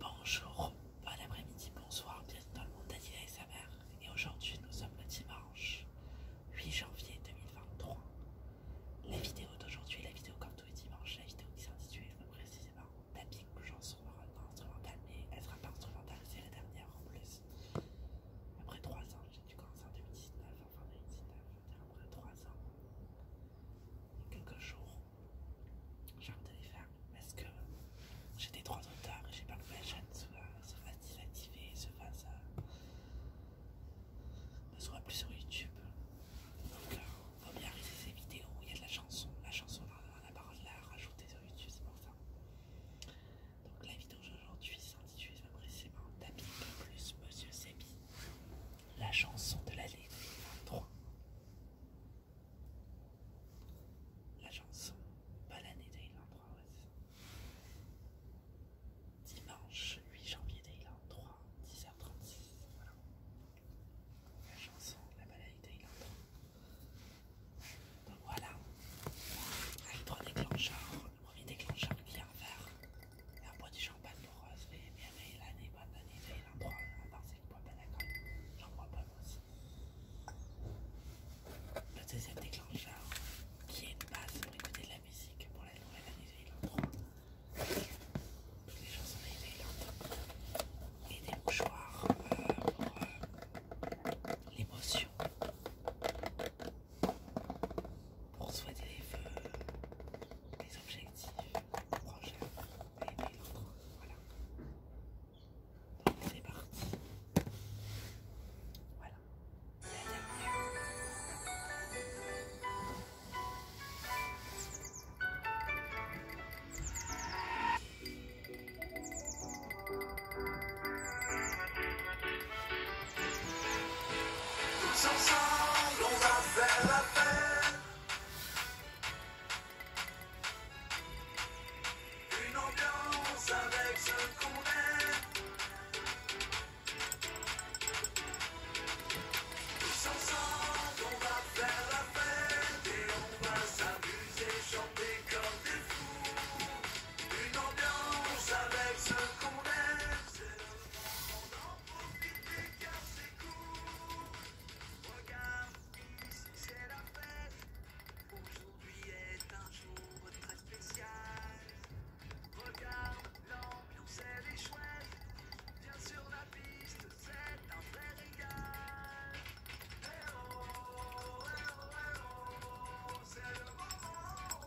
Bonjour, bon après-midi, bonsoir, bienvenue dans le monde et sa mère. Et aujourd'hui, nous sommes le dimanche 8 janvier 2023. La vidéo d'aujourd'hui, la vidéo quand tous les dimanches, la vidéo qui s'intitule précisément Tapping chanson instrumentale, mais elle sera pas instrumentale, c'est la dernière en plus. Après 3 ans, j'ai dû commencer en 2019, enfin en fin 2019, après 3 ans, et quelques jours. J'ai envie de les faire parce que j'ai des droits d'auteur et j'ai peur que ma chaîne soit, se fasse se fasse. ne soit plus sur YouTube. Donc, euh, on faut bien ces vidéos il y a de la chanson. La chanson, dans la parole là rajouter sur YouTube, c'est pour ça. Donc, la vidéo d'aujourd'hui s'intitule précisément Tapis plus Monsieur Sebi la chanson de l'année 3 La chanson, pas l'année 3 Ouais. Dimanche 8 janvier 3 10h36. La chanson, la 3. Donc voilà, avec trois déclencheurs. Le premier déclencheur qui est en vert. Euh, la boîte de champagne pour Rose, mais bien l'année, bonne année, est à part c'est une pas d'accord, j'en crois pas aussi. Le deuxième déclencheur, qui est une base de la musique pour la nouvelle année, les chansons de Et des mouchoirs euh, pour euh, l'émotion pour souhaiter les feux des objectifs prochains et l'autre, Voilà. c'est parti. Voilà. Tous ensemble, on va faire la fête. Une ambiance avec ce qu'on est. Tous ensemble, on va faire la fête. Et on va s'amuser, chanter comme des fous. Une ambiance avec ce qu'on est en profitez, cœur, c'est court. Regarde, ici c'est la fête. Aujourd'hui est un jour très spécial. Regarde, l'ambiance, est chouette. Bien sûr, la piste, c'est un vrai régal. Hé oh, hé oh, oh, c'est le moment.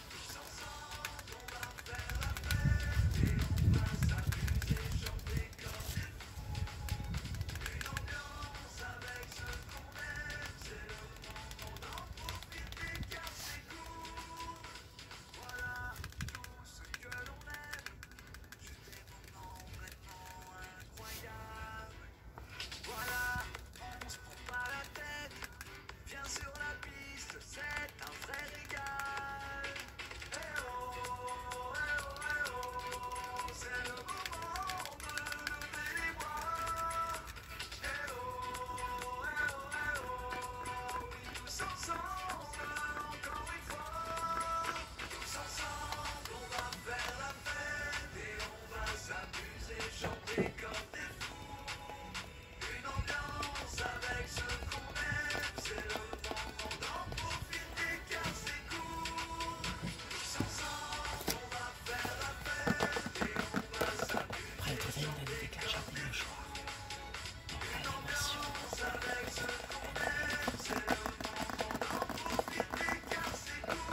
Tous ensemble, on va faire la paix, et on va s'amuser, j'en décorge tout. Une ambiance avec ce qu'on aime, c'est le moment d'en profiter car c'est cool. Voilà, tout ce que l'on aime. Je t'es maintenant vraiment incroyable. Voilà, on se prend pas la tête. Viens sur la piste, c'est un vrai régal. Eh oh, eh oh, eh oh, c'est le moment de lever les bras. Eh oh, eh oh, eh oh, oui, tous ensemble, encore une fois. Tous ensemble, on va faire la fête et on va s'amuser, chanter comme des fous. Une ambiance avec ce qu'on aime, c'est le temps d'en profiter car c'est court. Nous ensemble, on va faire la paix et on va s'accumuler. sur des cas, j'ai Une ambiance avec ce qu'on aime, c'est le temps d'en profiter car c'est court.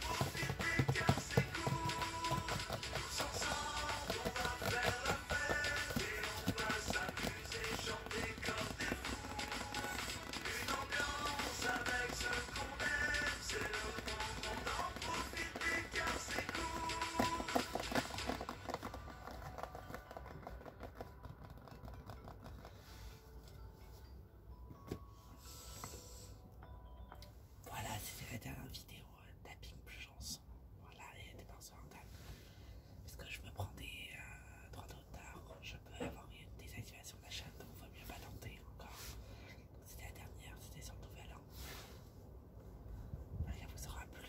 Pour pipi, car c'est Tous ensemble, on va faire la fête. Et on va s'amuser, chanter comme des fous. Une ambiance avec ceux qu'on aime. C'est le moment d'en profiter, car c'est court. Voilà, c'était la dernière vidéo euh, tapping plus chance. Voilà, et dépense en Parce que je me prends des euh, droits d'auteur, je peux avoir une désactivation d'achat, donc il vaut mieux pas tenter encore. C'était la dernière, c'était sur le nouvel an. Hein. vous aura plu.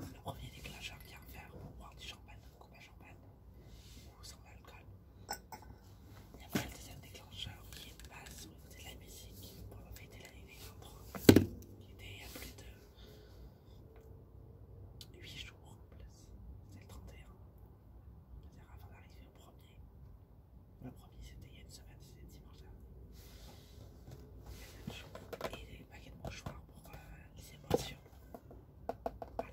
Le premier déclencheur qui est en fer pour boire du champagne, une coupe à champagne ou sans alcool. a pas le deuxième déclencheur qui est de base au niveau de la musique pour fêter l'année des 23, qui était il y a plus de 8 jours en plus, c'est le 31, c'est-à-dire avant d'arriver au premier. Le premier c'était il y a une semaine, c'était dimanche dernier. Et un paquet de mouchoirs pour euh, les émotions. Voilà.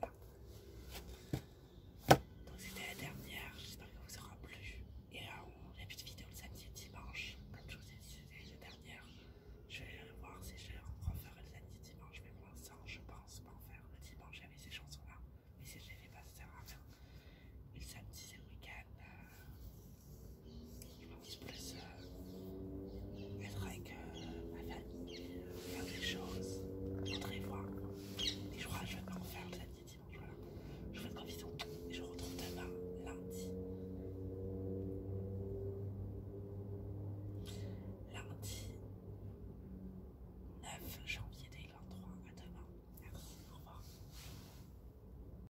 Donc c'était la dernière, j'espère que vous aura plu. Et euh, on a plus de vidéo le samedi et dimanche. Comme je vous ai dit, c'était la dernière. Je vais voir si je referai le samedi et dimanche, mais pour l'instant je pense pas en faire. Le dimanche avec ces chansons-là, mais si je les fais pas, ça sert à rien. Et le samedi c'est le week-end. Euh, je m'en dis plus être avec euh, ma famille, faire des choses, montrer voir. Et je crois que je vais pas en faire le samedi, dimanche. Voilà. Je vous fais une grande vision, et je vous retrouve demain, lundi. Lundi 9 janvier 2023. À demain. Merci. Au revoir.